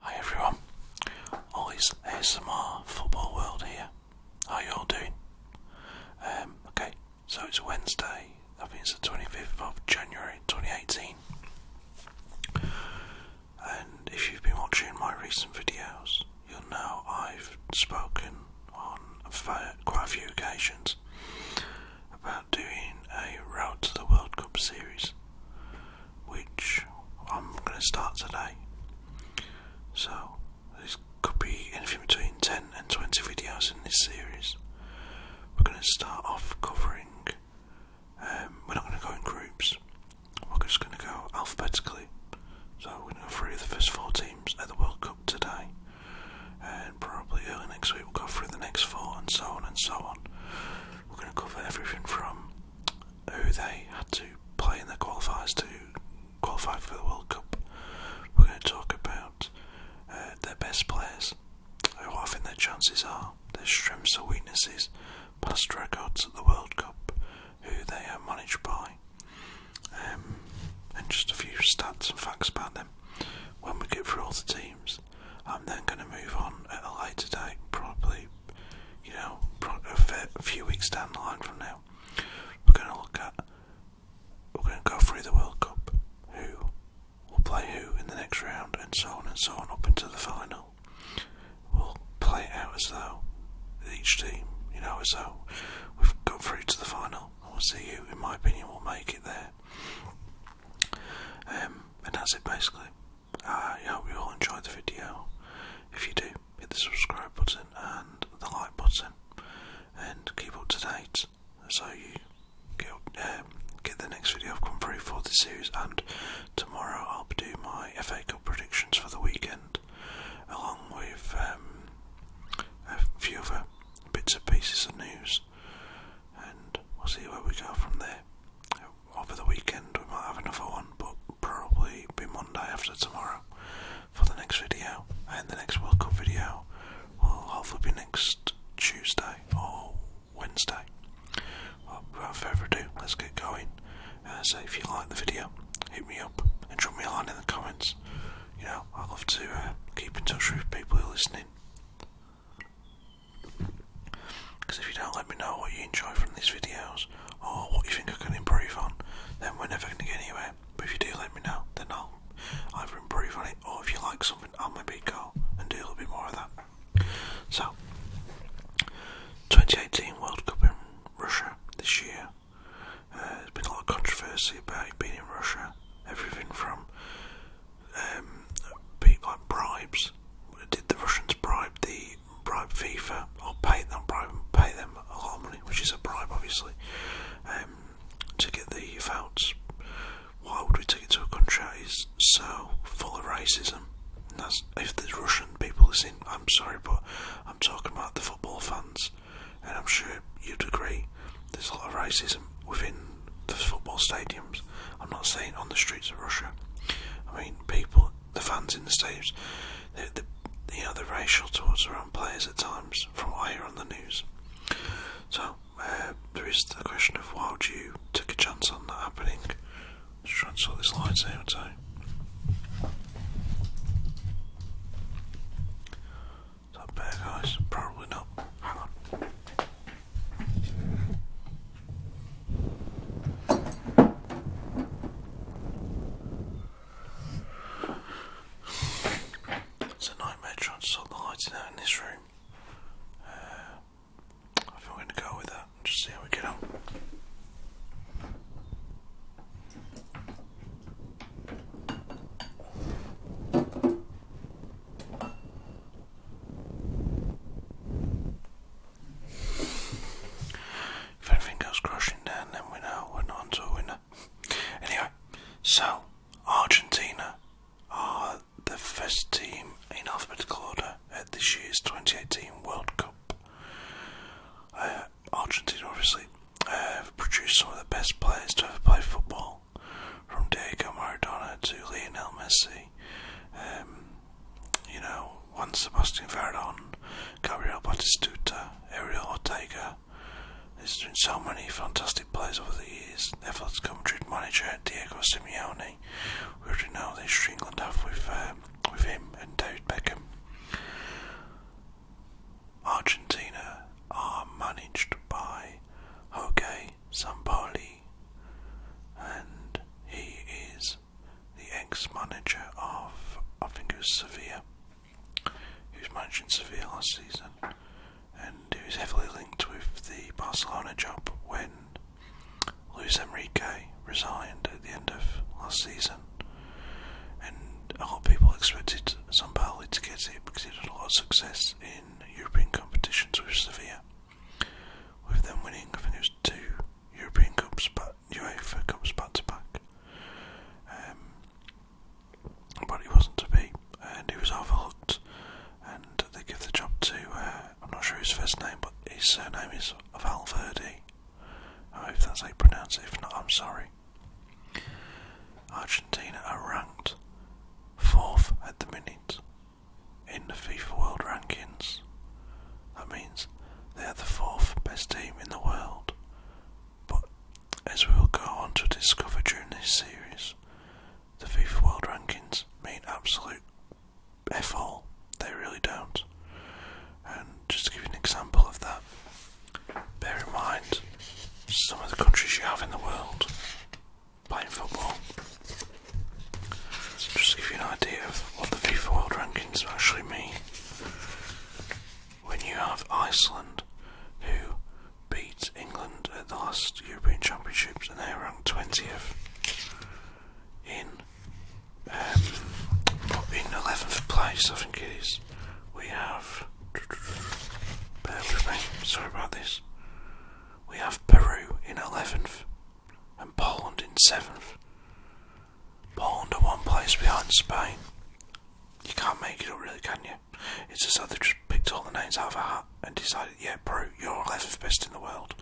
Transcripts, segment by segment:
Hi everyone, Ollie's ASMR Football World here. How you all doing? Um, okay, so it's Wednesday, I think it's the 25th of January 2018. And if you've been watching my recent videos, you'll know I've spoken on quite a few occasions about doing a Road to the World Cup series which I'm going to start today. So, this could be anything between 10 and 20 videos in this series. We're going to start off covering, um, we're not going to go in groups, we're just going to go alphabetically. So, we're going to go through the first four teams at the World Cup today, and probably early next week we'll go through the next four, and so on and so on. We're going to cover everything from who they had to play in their qualifiers to qualify for the World Cup. We're going to talk about uh, their best players, how often their chances are, their strengths or weaknesses, past records at the World Cup, who they are managed by, um, and just a few stats and facts about them. When we get through all the teams, I'm then going to move on at a later date, probably you know, a few weeks down the line from now, we're going to look at, we're going to go through the World Cup, who will play who in the next round, and so on and so on up into the final. We'll play out as though each team, you know, as though we've got through to the final. I will see who, in my opinion, will make it there. Um, and that's it basically. Uh, I hope you all enjoyed the video. If you do, hit the subscribe button and the like button, and keep up to date so you get um, get the next video I've come through for this series. And tomorrow I'll do my FA Cup predictions for the weekend, along with um, a few other bits and pieces of news. And we'll see where we go from there. Over the weekend, we might have another one, but probably be Monday after tomorrow for the next video. And the next World Cup video will hopefully be next Tuesday or Wednesday. without further ado, let's get going. Uh, so if you like the video, hit me up and drop me a line in the comments. You know, I love to uh, keep in touch with people who are listening. Because if you don't let me know what you enjoy from these videos or what you think I can improve on, then we're never going to get anywhere. But if you do let me know, then I'll either improve on it or if you like something, I'll maybe go and do a little bit more of that. So, 2018 World Cup in Russia this year. Uh, there's been a lot of controversy about it being in Russia. Everything from um, people like bribes. Did the Russians bribe the bribe, bribe FIFA, or pay them, bribe, pay them a lot of money, which is a bribe, obviously, um, to get the votes. Why would we take it to a country that is so full of racism? if there's Russian people listening, I'm sorry, but I'm talking about the football fans, and I'm sure you'd agree. There's a lot of racism within the football stadiums. I'm not saying on the streets of Russia. I mean, people the fans in the stadiums, they're, they you know, they racial towards their own players at times, from what you hear on the news. So, uh, there is the question of why you took a chance on that happening? Let's try and sort this line out, I Is that better, guys? Probably not. Hang on. It's a nightmare trying to sort the lighting out in this room. Uh, I think we're going to go with that just see how we get on if anything goes crashing down, then we know we're not onto a winner. Anyway, so Argentina are the first team in alphabetical order at this year's 2018 World Cup. Uh, Argentina, obviously, produced some of the best players to ever play football, from Diego Maradona to Lionel Messi. Um, you know, once Sebastian Verdon, Gabriel Batistuta, Ariel Ortega. There's been so many fantastic players over the years. They've had Madrid manager Diego Simeone. We already know they should England with, um, with him and David Beckham. Argentina are managed by Jorge Sampaoli, and he is the ex-manager of, I think it was Sevilla, who was managing Sevilla last season, and who was heavily linked with the Barcelona job when Luis Enrique resigned at the end of last season. And a lot of people expected Sampaoli to get it because he had a lot of success in European competitions with Sevilla. With them winning, I think it was two European Cups back UEFA Cups back to back. Um, but it wasn't to be, and he was overlooked. And they give the job to, uh, I'm not sure his first name, but his surname is Valverde. Oh, if that's how you pronounce it, if not, I'm sorry. Argentina are ranked fourth at the minute in the FIFA World Rankings. That means they are the fourth best team in the world. But as we will go on to discover during this series, the FIFA World Rankings mean absolute F all. They really don't. And just to give you an example of that, bear in mind some of the countries you have in the world playing football. just to give you an idea of what the FIFA World Rankings actually mean. When you have Iceland, who beat England at the last European Championships and they're ranked 20th in, um, in 11th place, I think it is, we have. sorry about this. We have Peru in 11th and Poland in 7th. Poland are one place behind Spain. You can't make it up, really, can you? It's as though they just picked all the names out of a hat and decided, yeah, bro, you're 11th best in the world.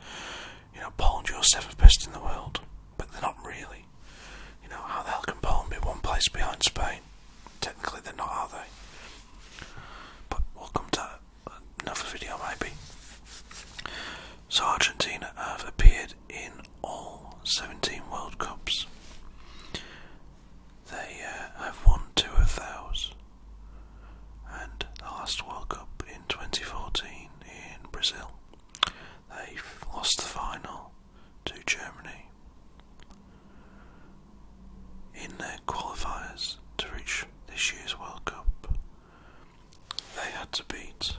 You know, Poland, you're 7th best in the world. But they're not really. You know, how the hell can Poland be one place behind Spain? Technically, they're not, are they? But we'll come to another video, maybe. Argentina have appeared in all 17 World Cups. They uh, have won two of those, and the last World Cup in 2014 in Brazil, they lost the final to Germany. In their qualifiers to reach this year's World Cup, they had to beat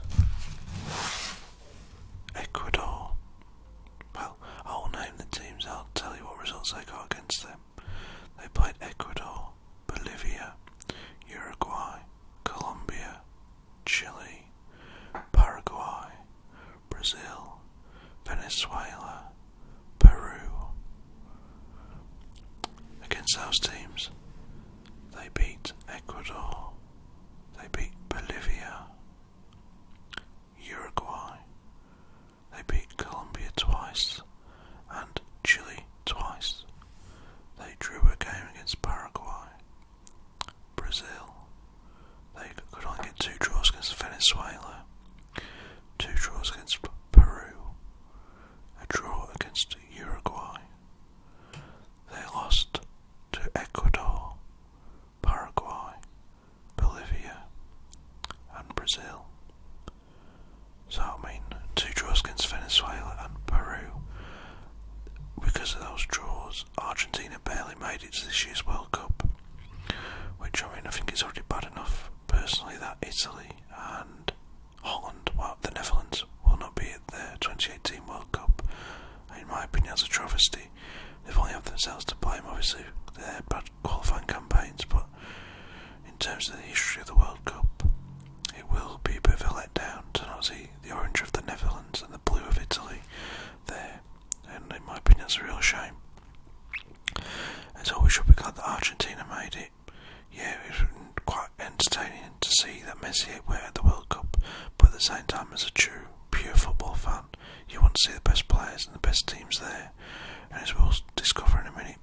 Ecuador. Well, I will name the teams, I'll tell you what results they got against them. They played Ecuador, Bolivia, Uruguay, Colombia, Chile, Paraguay, Brazil, Venezuela, Peru. Against those teams, they beat Ecuador, they beat Bolivia, Uruguay. They beat Colombia twice and Chile twice. They drew a game against Paraguay. Brazil. They could only get two draws against Venezuela, two draws against Peru, a draw against Uruguay. They lost to Ecuador, Paraguay, Bolivia, and Brazil. So, I mean, two draws against Venezuela and Peru. Because of those draws, Argentina barely made it to this year's World Cup, which I mean, I think is already bad enough. Personally, that Italy and Holland, well, the Netherlands, will not be at the 2018 World Cup in my opinion, that's a travesty. They've only had themselves to blame, obviously, their bad qualifying campaigns, but in terms of the history of the World Cup, it will be a bit of a letdown to not see the orange of the Netherlands and the blue of Italy there, and in my opinion, it's a real shame. And so we should be glad that Argentina made it. Yeah, it was quite entertaining to see that Messier were at the World Cup, but at the same time, as a true, pure football fan, you want to see the best players and the best teams there. And as we'll discover in a minute,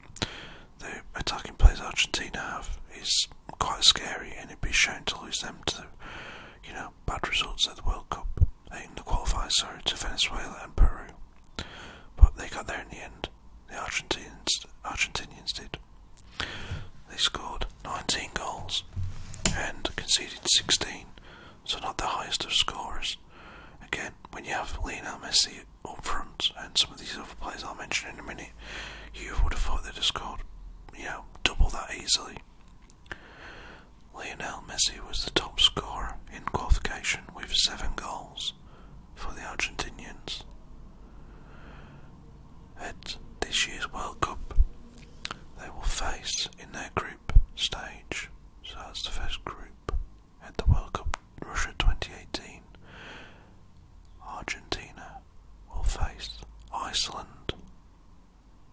the attacking players Argentina have is quite scary, and it'd be shown to lose them to, you know, bad results at the World Cup, in the qualifiers, sorry, to Venezuela and Peru. But they got there in the end. The Argentinians, Argentinians did. They scored 19 goals and conceded 16, so not the highest of scorers. Again, when you have Lionel Messi up front and some of these other players I'll mention in a minute, you would have thought they'd have scored, you know, double that easily. Lionel Messi was the top scorer in qualification with seven goals for the Argentinians at this year's World Cup. They will face in their group stage, so that's the first group at the World Cup Russia 2018. Argentina will face Iceland,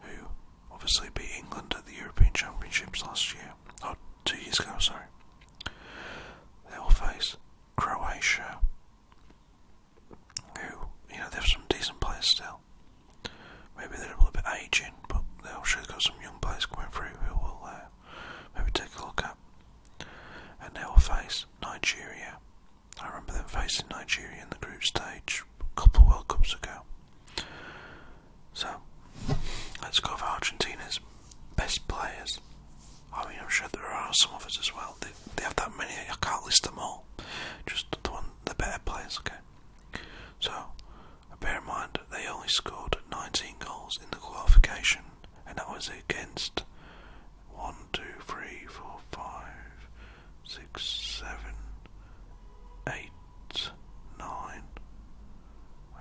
who obviously beat England at the European Championships last year, Not oh, two years ago, sorry. They will face Croatia, who, you know, they have some decent players still. Maybe they're a little bit aging, but they'll sure got some young players coming through who will uh, maybe take a look at. And they will face Nigeria. I remember them facing Nigeria in the group stage a couple of World Cups ago. So, let's go for Argentina's best players. I mean, I'm sure there are some others as well. They, they have that many, I can't list them all. Just the ones the better players, okay? So, bear in mind, they only scored 19 goals in the qualification, and that was against 1, 2, 3, 4, 5, 6, 7, 8, 9. Uh,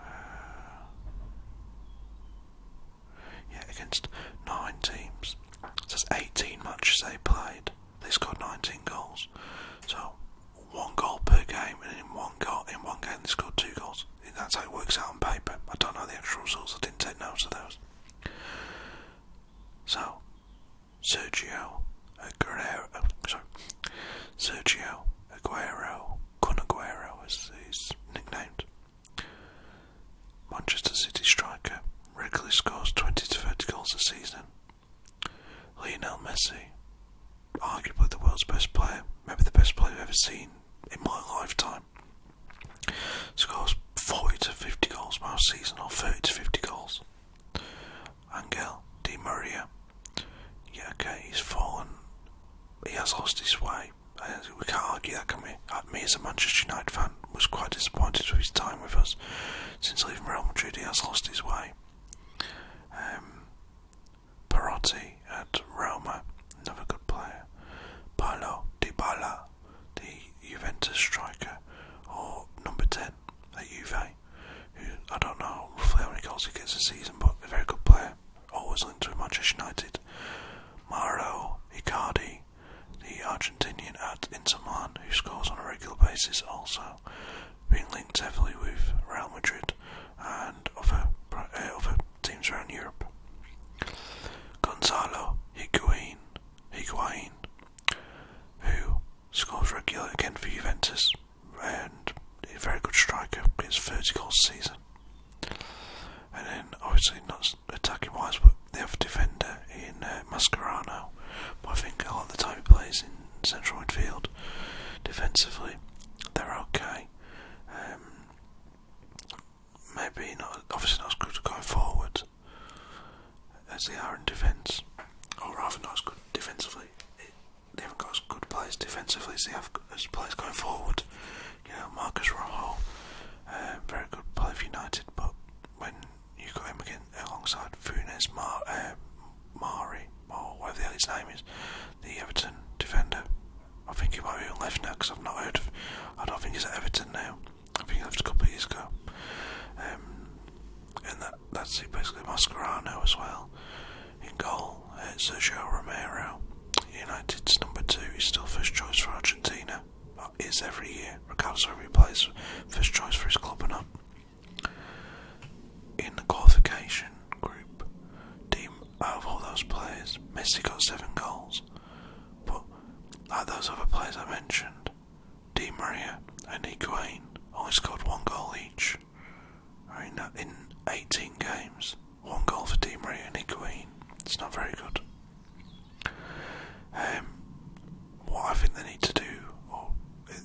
yeah, against 9 teams. So that's 18 matches they played. They scored 19 goals. So one goal per game, and in one goal, in one game they scored two goals. That's how it works out on paper. I don't know the actual results. I didn't take notes of those. So Sergio Aguero, oh, sorry, Sergio Aguero, Kun Aguero as he's nicknamed. Manchester City striker regularly scores 20 to 30 goals a season, Lionel Messi, arguably the world's best player, maybe the best player I've ever seen in my lifetime, scores 40 to 50 goals per season, or 30 to 50 goals. Angel Di Maria, yeah, okay, he's fallen, he has lost his way. We can't argue that, can uh, Me as a Manchester United fan was quite disappointed with his time with us. Since leaving Real Madrid, he has lost his way. Parotti um, Perotti at Roma, another good player. Paolo Dybala, the Juventus striker, or number 10 at Juve, who I don't know if he only goals he gets a season, but a very good player, always linked to Manchester United. Mario Icardi, the Argentinian at Inter Milan, who scores on a regular basis also being linked heavily with Real Madrid and uh, other, teams around Europe. Gonzalo Higuain, Higuain who scores regularly again for Juventus and a very good striker, gets 30 goals season. And then, obviously, not attacking wise, but the other defender in uh, Mascherano. But I think a lot of the time he plays in central midfield. Defensively, they're okay. Um, maybe not, obviously not as good going forward as they are in defence, or rather not as good defensively. they haven't got as good players defensively as they have as players going forward. You know, Marcus Rojo, um, uh, very good player for United, but when you alongside Funes Mar uh, or whatever the hell his name is, the Everton defender. I think he might be on left now because I've not heard I don't think he's at Everton now. I think he left a couple of years ago. Um, and that's basically. Mascherano as well. In goal, uh, Sergio Romero. United's number two. is still first choice for Argentina. Is every year, Ricardo's always whether he first choice for his club or not. In the qualification group team, out of all those players, Messi got seven goals. But like those other players I mentioned, Di Maria and Higuain only scored one goal each. In, 18 games, one goal for Di Maria and Higuain. It's not very good. Um, what I think they need to do, or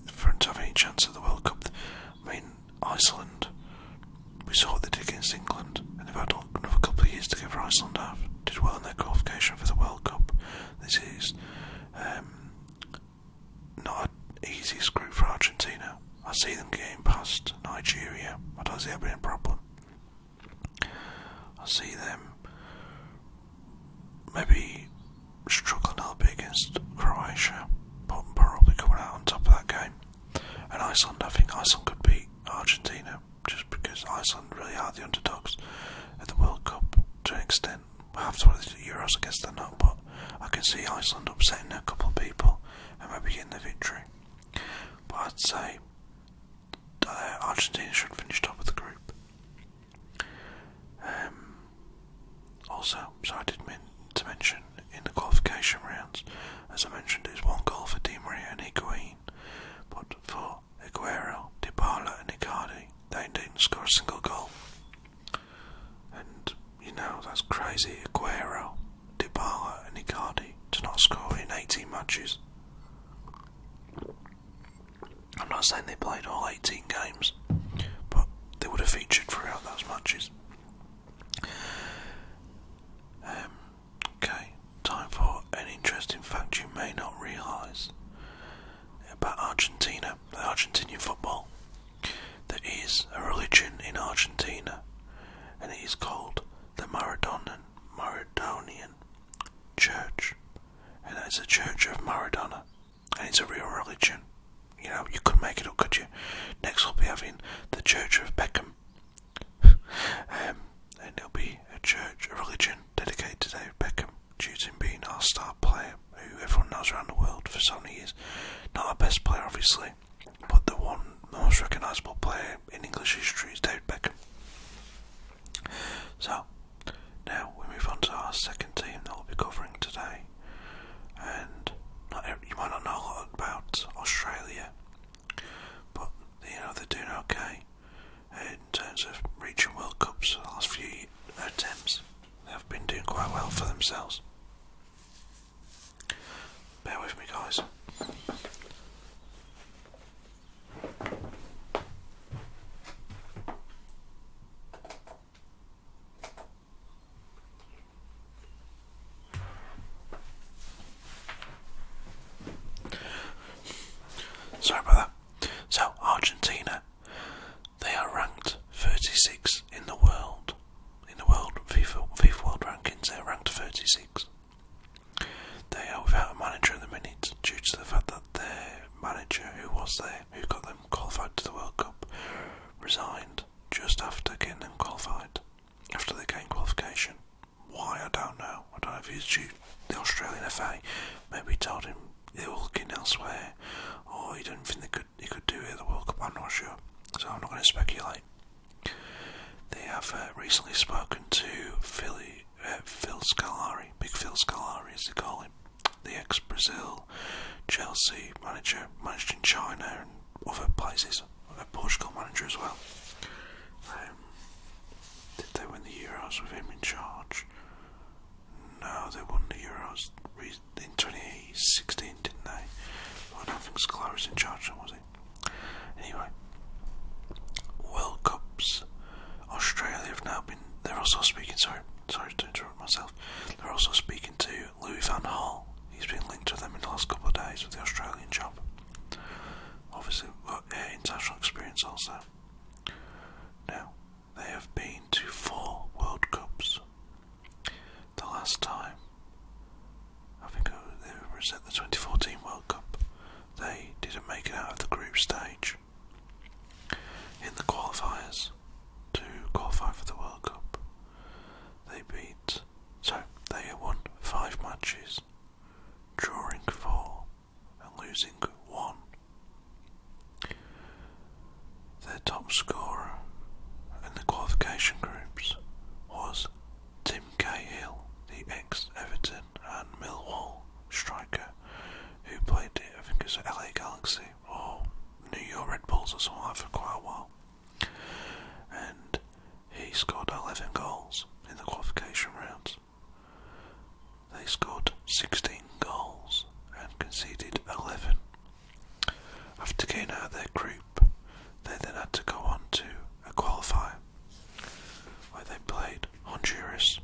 for them to have any chance at the World Cup. I mean, Iceland, we saw what they did against England, and they've had another couple of years to give Iceland half. Did well in their qualification for the World Cup. This is um, not an easy group for Argentina. I see them getting past Nigeria. I don't see them being a problem. I see them maybe struggling a little bit against Croatia, but probably coming out on top of that game. And Iceland, I think Iceland could beat Argentina just because Iceland really are the underdogs at the World Cup to an extent. After the Euros, against guess they not, but I can see Iceland upsetting a couple of people and maybe getting the victory. But I'd say uh, Argentina should finish top of the group. Um, also, so I did not mean to mention in the qualification rounds, as I mentioned, it was one goal for Di Maria and Higuain, but for Aguero, Dybala, and Icardi, they didn't score a single goal. And you know that's crazy. Aguero, Dybala, and Icardi to not score in 18 matches. I'm not saying they played all 18 games, but they would have featured throughout those matches. Um, okay, time for an interesting fact you may not realise about Argentina, Argentinian football. There is a religion in Argentina, and it is called the Maradonan, Maradonian Church, and it's the Church of Maradona and it's a real religion. You know, you could make it up, could you? Next, we'll be having the Church of Beckham, um, and it'll be a church, a religion dedicated to David Beckham, choosing being our star player, who everyone knows around the world for so many years. Not our best player, obviously, but the one most recognisable player in English history is David Beckham. So, now we move on to our second team that we'll be covering today, and you might not know a lot about Australia, but you know they're doing okay in terms of reaching World Cups. The last few attempts, have been doing quite well for themselves. Bear with me, guys. Sorry about that. So, Argentina, they are ranked 36 in the world. In the world FIFA, FIFA World Rankings, they are ranked 36. They are without a manager at the minute due to the fact that their manager, who was there, who got them qualified to the World Cup, resigned just after Kingdom qualified, after they gained qualification. Why, I don't know. I don't know if he's due the Australian FA. Maybe he told him they were looking elsewhere, or he didn't think they could, he could do it at the World Cup. I'm not sure. So I'm not going to speculate. They have uh, recently spoken to uh, Phil Scalari, Big Phil Scalari as they call him, the ex Brazil, Chelsea manager, managed in China and other places, a Portugal manager as well. Um, did they win the Euros with him in charge? No, they won the Euros in 2016, didn't they? I don't think Scolari was in charge, was it? Anyway, World Cups. Australia have now been. They're also speaking. Sorry, sorry to interrupt myself. They're also speaking to Louis Van Hall. He's been linked with them in the last couple of days with the Australian job. Obviously, got uh, international experience also. Now, they have been to four World Cups. The last time, I think it was at the 2014 World Cup, they didn't make it out of the group stage. In the qualifiers, to qualify for the World Cup. They beat, so they won five matches, drawing four and losing one. Their top scorer in the qualification groups was Tim Cahill, the ex Everton and Millwall striker who played, I the LA Galaxy Pepsi oh, New York Red Bulls or something like for quite a while. And he scored 11 goals in the qualification rounds. They scored 16 goals and conceded 11. After getting out of their group, they then had to go on to a qualifier where they played Honduras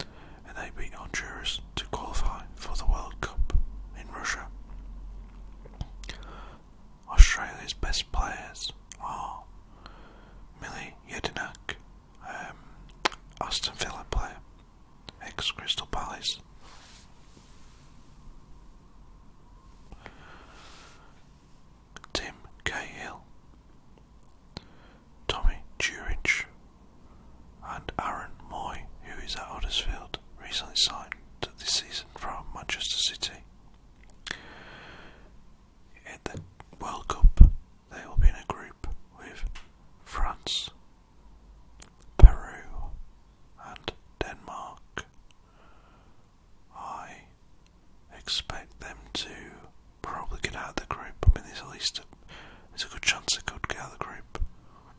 and they beat Honduras to qualify for the World Cup in Russia. Australia's best players are Millie Yedinak, um, Aston Villa player, ex Crystal Palace. Tim Cahill, Tommy Jurich, and Aaron Moy, who is at Huddersfield, recently signed this season from Manchester City. In the World Cup, they will be in a group with France, Peru, and Denmark. I expect them to probably get out of the group. I mean, there's at least there's a good chance they could get out of the group.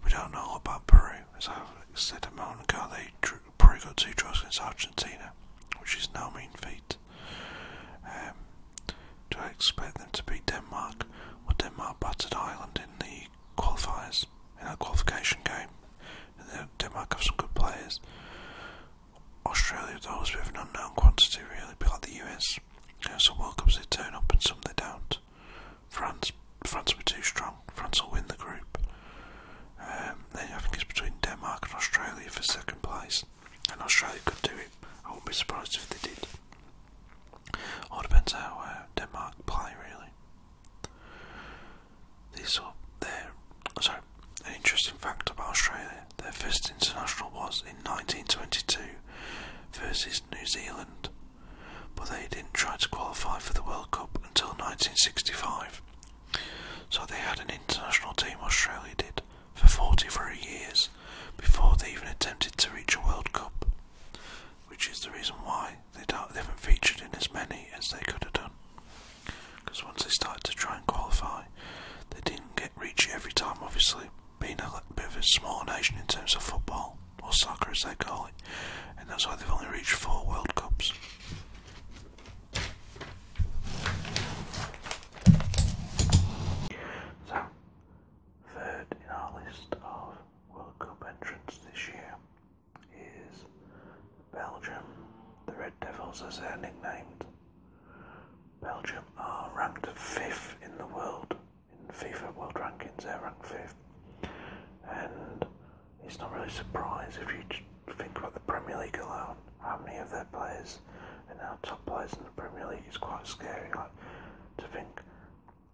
We don't know about Peru. As I said a moment ago, they drew, got two draws against Argentina, which is no mean feat. Um, do I expect them to beat Denmark? or Denmark battered Island in the qualifiers, in that qualification game. Denmark have some good players. Australia, though, is a bit an unknown quantity, really, a like the US. You know, some World Cups they turn up and some they don't. France, France be too strong. France will win the group. Um, then I think it's between Denmark and Australia for second place, and Australia could do it. I wouldn't be surprised if they did. All depends how uh, Denmark play, really. This, are their sorry. An interesting fact about Australia: their first international was in 1922 versus New Zealand but they didn't try to qualify for the World Cup until 1965. So they had an international team, Australia did, for 43 years before they even attempted to reach a World Cup, which is the reason why they, haven't featured in as many as they could have done. Because once they started to try and qualify, they didn't get reach every time, obviously, being a bit of a small nation in terms of football or soccer as they call it, and that's why they've only reached four World Cups. So, third in our list of World Cup entrants this year is Belgium, the Red Devils as they're nicknamed. Belgium are ranked fifth in the world in FIFA World Rankings. They're ranked fifth. And it's not really a surprise if you think about the Premier League alone, how many of their players are now top players in the Premier League is quite scary. Like to think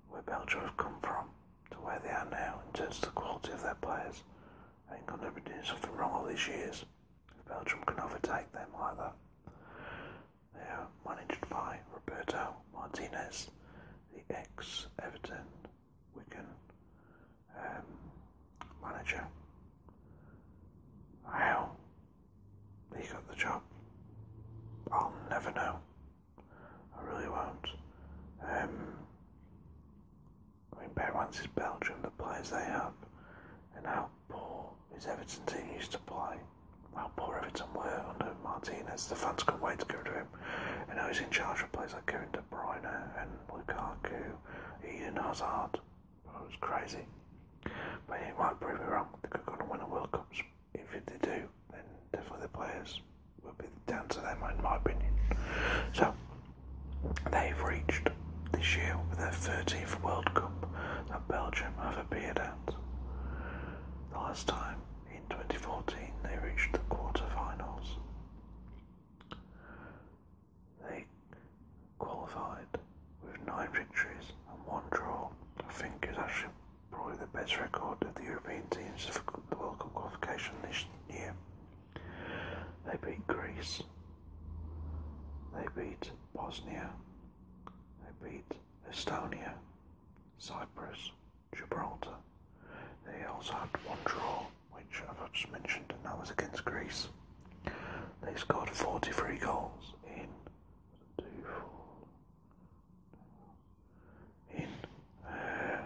where Belgium have come from to where they are now in terms of the quality of their players. I think they'll be doing something wrong all these years if Belgium can overtake them either. They are managed by Roberto Martinez, the ex Everton Wigan um, manager. How he got the job, I'll never know. I really won't. Um, I mean, Berwans is Belgium, the players they have, and how poor his Everton team used to play. How poor Everton were under Martinez. The fans couldn't wait to go to him. And I was in charge of players like Kevin De Bruyne and Lukaku, Eden Hazard. It was crazy. But he might prove me wrong. They could go and win the World Cup. If they do, then definitely the players will be down to them, in my opinion. So, they've reached this year with their 13th World Cup that Belgium have appeared at. The last time in 2014, they reached the quarterfinals. They qualified with nine victories and one draw. I think is actually probably the best record of the European teams for the World Cup qualification this year. They beat Greece. They beat Bosnia. They beat Estonia, Cyprus, Gibraltar. They also had one draw, which I've just mentioned, and that was against Greece. They scored 43 goals in two, four, in uh,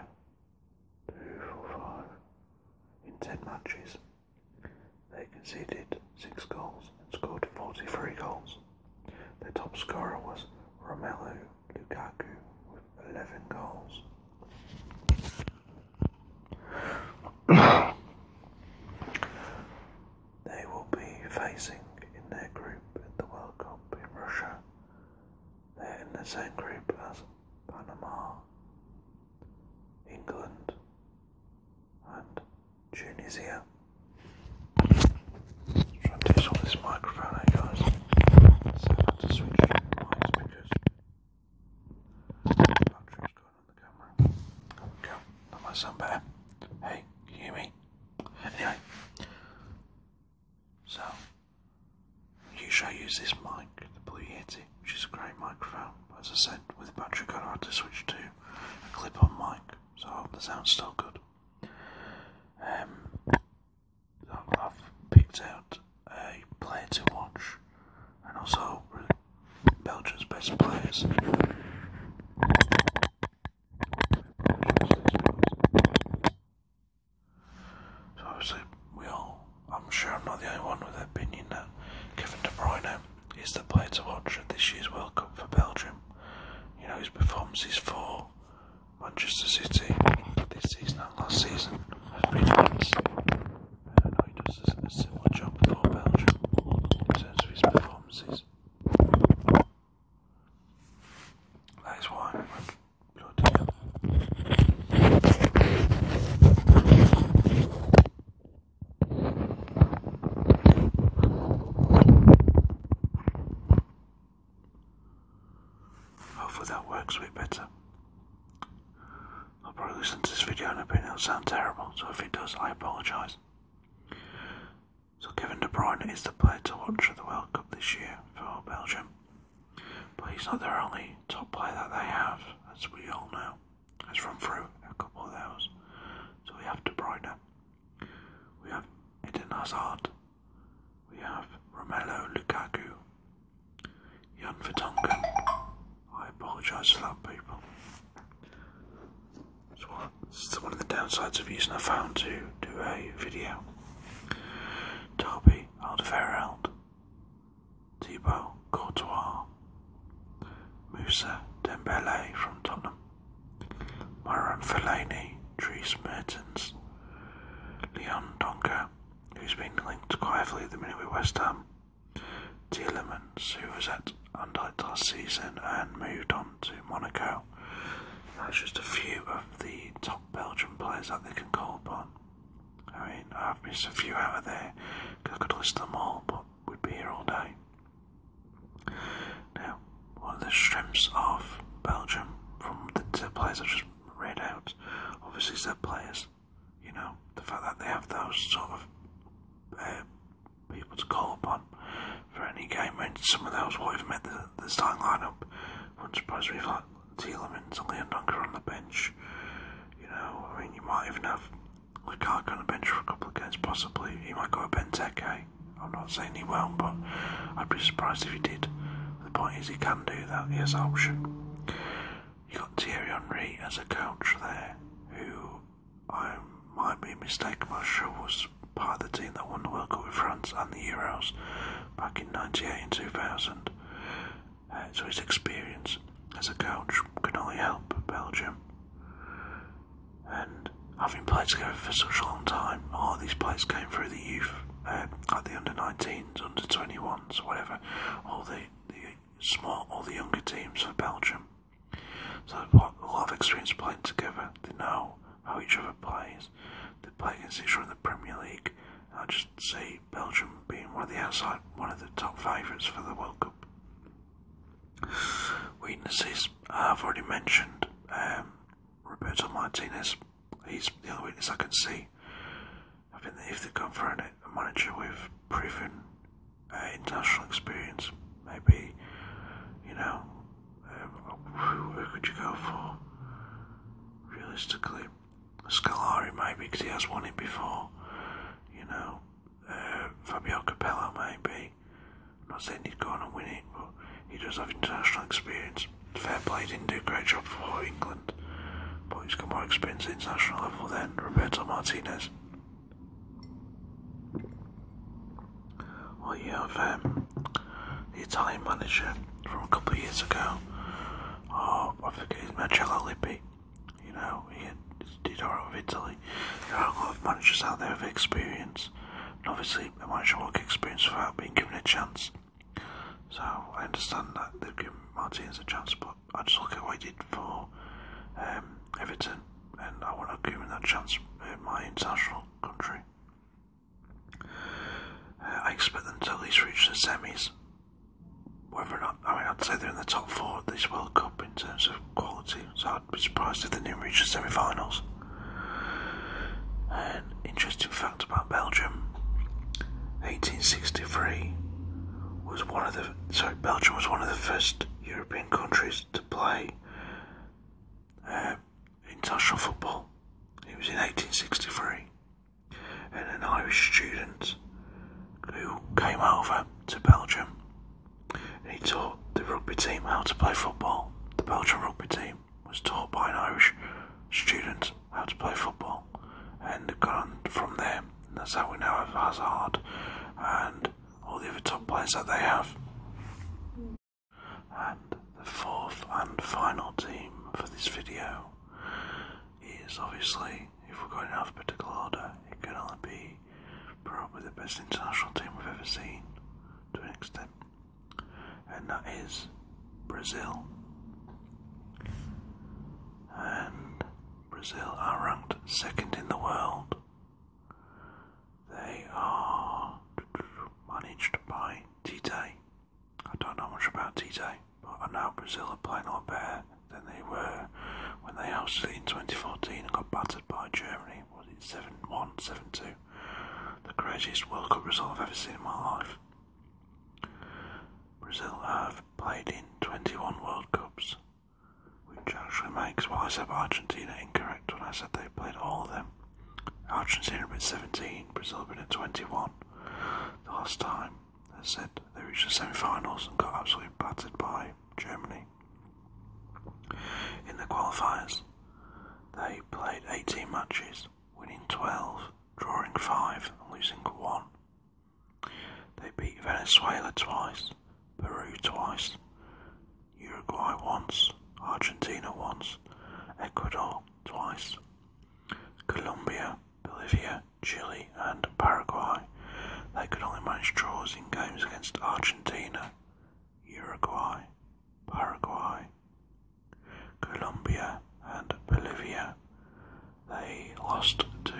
two, four, five, in ten matches. They conceded six goals and scored 43 goals. Their top scorer was Romelu Lukaku with 11 goals. they will be facing in their group in the World Cup in Russia. They're in the same group as Panama, England, and Tunisia. Try and do this microphone, eh, guys. So i had to switch mics because the battery's going on the camera. There we go. That might Hey, you hear me? Anyway, so usually I use this mic, the Blue Yeti, which is a great microphone. as I said, with the battery going, I had to switch to a clip-on mic, so I hope the sound's still good. I've picked out a player to watch and also Belgium's best players. So obviously we all, I'm sure I'm not the only one with the opinion that Kevin De Bruyne is the player to watch at this year's World Cup for Belgium. You know, his performances for Manchester City this season not last season has been immense. I know he does a similar job for Belgium in terms of his performances. That is why Hopefully that works a bit better. I'll probably listen to this video and opinion it'll sound terrible, so if it does, I apologise. So Kevin De Bruyne is the player to watch at the World Cup this year for Belgium. But he's not the only top player that they have, as we all know. Let's run through a couple of those. So we have De Bruyne. We have Eden Hazard. We have Romelu Lukaku, Jan Vertonghen. I apologise for that, people. This is one of the downsides of using a phone to do a video. Toby Alderweireld, Thibaut Courtois, Musa Dembele from Tottenham, Myron Fellaini, Dries Mertens, Leon Donker, who's been linked quietly at the minute with West Ham. Tielemans, who was at Anderlecht last season and moved on to Monaco. That's just a few of the top Belgian players that they can call upon. I mean, I've missed a few out of there I could list them all, but we'd be here all day. Now, one of the strengths of Belgium from the players Read out, obviously set players. You know, the fact that they have those sort of uh, people to call upon for any game, and someone else those would have made the, the starting lineup. Wouldn't surprise me if like Tielemans and Leondonker on the bench. You know, I mean, you might even have Lukaku on the bench for a couple of games, possibly. He might go to Benteke. I'm not saying he won't, but I'd be surprised if he did. The point is, he can do that. He has option. You got Thierry Henry as a coach there, who I might be mistaken, but sure was part of the team that won the World Cup with France and the Euros back in '98 and 2000. Uh, so his experience as a coach can only help Belgium. And having played together for such a long time, all these players came through the youth uh, at the under 19 under 21s, whatever, all the, the small, all the younger teams for Belgium. So a lot of experience playing together. They know how each other plays. They play against each other in the Premier League. I just see Belgium being one of the outside, one of the top favourites for the World Cup. Weaknesses I've already mentioned. Um, Roberto Martinez. He's the only weakness I can see. I think that if they are going for a manager with proven uh, international experience, maybe, you know, um, who, could you go for? Realistically, Scalari maybe because he has won it before. You know, uh, Fabio Capello maybe. I'm not saying he's going to win it, but he does have international experience fair play, didn't do a great job for England, but he's got more experience at international level than Roberto Martinez. Well, you have um, the Italian manager from a couple of years ago, oh, I forget his Marcello Lippi, you know, he did alright with Italy. There are a lot of managers out there with experience, and obviously a manager will get experience without being given a chance. So I understand that they are given Martinez a chance, but I just look at what he did for um, Everton, and I want to give him that chance in my international country. Uh, I expect them to at least reach the semis. Whether or not, I mean, I'd say they're in the top four of this World Cup in terms of quality, so I'd be surprised if they didn't reach the semifinals. finals. interesting fact out about Belgium. 1863 was one of the sorry Belgium was one of the first European countries to play uh, international football. It was in 1863, and an Irish student who came over to Belgium he taught the rugby team how to play football. The Belgian rugby team was taught by an Irish student how to play football, and got on from there. That's how we now have Hazard and all the other top players that they have. And the fourth and final team for this video is obviously, if we're going in alphabetical order, it can only be probably the best international team we've ever seen to an extent, and that is Brazil and Brazil are ranked second in the world. They are managed by Tite. I don't know much about Tite, but I know Brazil are playing a lot better than they were when they hosted it in 2014 and got battered by Germany. Was it 7 1, 7 2? The craziest World Cup result I've ever seen in my life. Brazil have played in 21 World Cups, which actually makes wise up Argentina incorrect when I said they played all of them. Argentina have been 17, Brazil have been 21. The last time, as said, they reached the semi finals and got absolutely battered by Germany. In the qualifiers, they played 18 matches, winning 12, drawing 5, and losing 1. They beat Venezuela twice, Peru twice, Uruguay once, Argentina once, Ecuador twice, Colombia, Bolivia, Chile, and Paraguay. They could only manage draws in games against Argentina, Uruguay, Paraguay, Colombia, and Bolivia, they lost to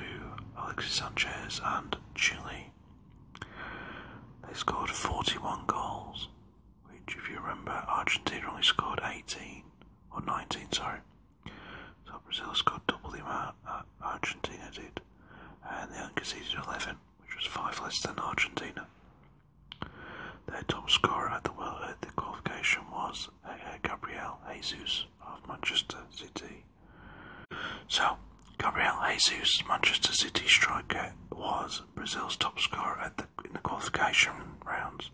Alexis Sanchez and Chile. They scored 41 goals, which, if you remember, Argentina only scored 18 or 19, sorry. So Brazil scored double the amount Argentina did, and they only conceded 11, which was five less than Argentina. Their top scorer at the world at the qualification was uh, uh, Gabriel Jesus, of Manchester City. So, Gabriel Jesus, Manchester City striker, was Brazil's top scorer at the, in the qualification rounds.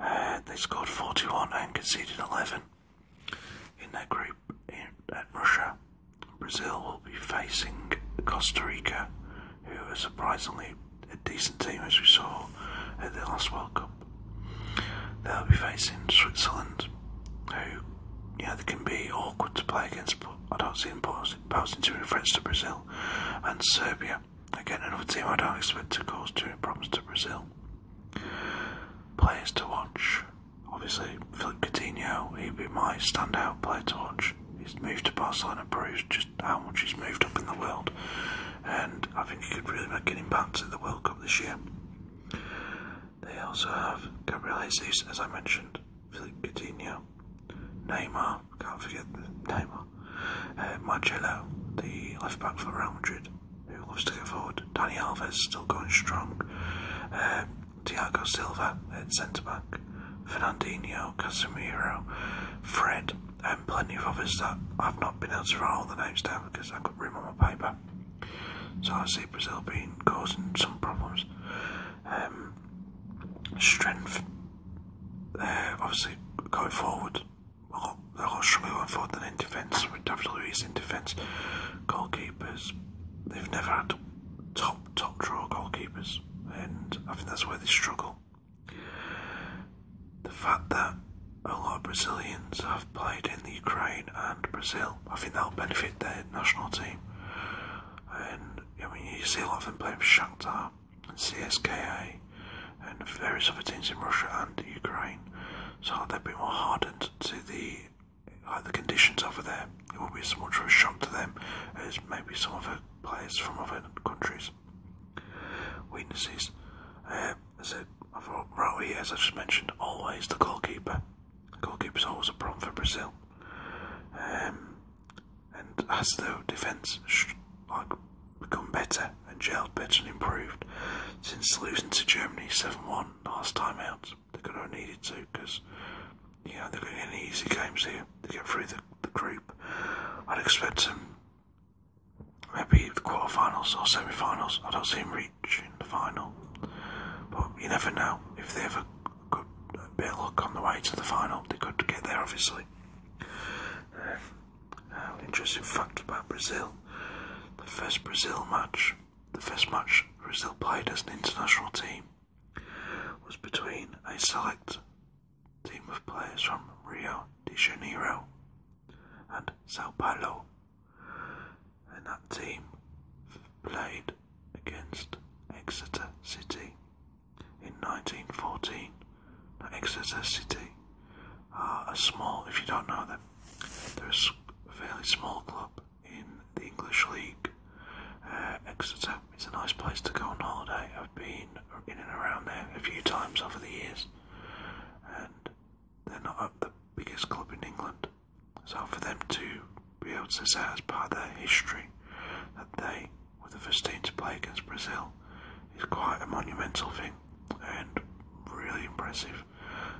Uh, they scored 41 and conceded 11 in their group in, at Russia. Brazil will be facing Costa Rica, who are surprisingly a decent team as we saw at the last World Cup. They'll be facing Switzerland, who, yeah, they can be awkward to play against, but I don't see them posing too many threats to Brazil and Serbia. Again, another team I don't expect to cause too many problems to Brazil. Players to watch. Obviously, Philip Coutinho, he'd be my standout player to watch. He's moved to Barcelona, proves just how much he's moved up in the world and I think he could really make an impact at the World Cup this year. They also have Gabriel Jesus, as I mentioned, Philippe Coutinho, Neymar, can't forget Neymar, uh, the left back for Real Madrid, who loves to go forward, Dani Alves still going strong, uh, Silva at centre back, Fernandinho, Casemiro, Fred, and plenty of others that I've not been able to write all the names down because I have got. I've paper. So I see Brazil being causing some problems. Um, strength, uh, obviously going forward. They're a lot stronger going forward than in defence. WWE's in defence. Goalkeepers, they've never had top, top draw goalkeepers, and I think that's where they struggle the fact that a lot of Brazilians have played in the Ukraine and Brazil, I think that'll benefit their national team. And I mean, you see a lot of them playing for Shakhtar and CSKA and various other teams in Russia and Ukraine, so they will be more hardened to the the conditions over there. It will be so much of a shock to them as maybe some other players from other countries. Weaknesses. Uh, I said, I thought, Rui, as I just mentioned, always the goalkeeper. The goalkeeper's always a problem for Brazil. Um, and as the defence like become better and gelled better and improved since losing to Germany 7-1 last time out, they are going to need it too. because you know they're going to get easy games here. to get through the, the group. I'd expect them maybe the quarterfinals or semi-finals. I don't see him reaching the final, but you never know. If they have a good bit of luck on the way to the final, they could get there. Obviously. Um, uh, interesting fact about Brazil: the first Brazil match, the first match Brazil played as an international team, was between a select team of players from Rio de Janeiro and Sao Paulo and that team played against Exeter City in 1914. Exeter City are a small, if you don't know them, they're a fairly small club in the English League. Uh, Exeter, is a nice place to go on holiday. I've been in and around there a few times over the years, and they're not the biggest club in England. So for them to be able to say as part of their history that they were the first team to play against Brazil is quite a monumental thing and really impressive.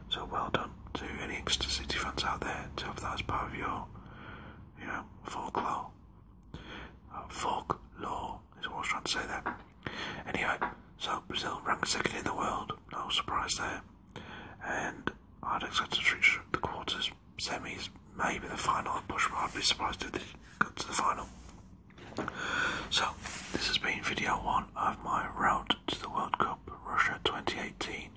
So well done to any Exeter City fans out there to have that as part of your, you know, folklore. Uh, folklore is what I was trying to say there. Anyway, so Brazil ranked second in the world, no surprise there. And I'd expect to reach the quarters, semis, maybe the final push, but I'd be surprised if they got to the final. So, this has been video one of my route to the World Cup Russia 2018.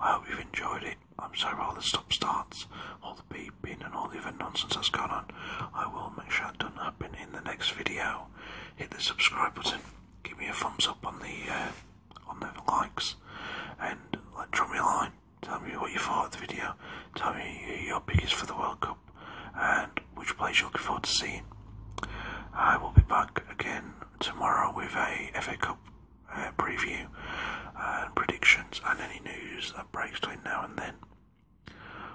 I hope you've enjoyed it. I'm sorry about the stop starts, all the beeping, and all the other nonsense that's gone on. I will make sure that doesn't happen in the next video. Hit the subscribe button give me a thumbs up on the uh, on the likes, and like drop me a line. Tell me what you thought of the video. Tell me your pick is for the World Cup and which players you're looking forward to seeing. I will be back again tomorrow with a FA Cup uh, preview and uh, predictions and any news that breaks between now and then.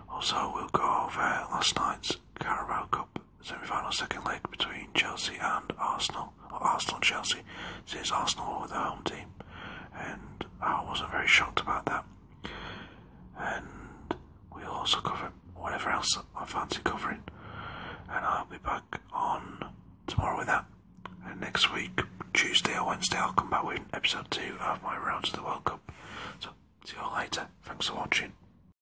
Also, we'll go over last night's Carabao Cup semi-final second leg between Chelsea and Arsenal, or Arsenal and Chelsea, since Arsenal were the home team, and I wasn't very shocked about that. And we'll also cover whatever else I fancy covering, and I'll be back on tomorrow with that. And next week, Tuesday or Wednesday, I'll come back with episode two of my round to the World Cup. So see you all later. Thanks for watching.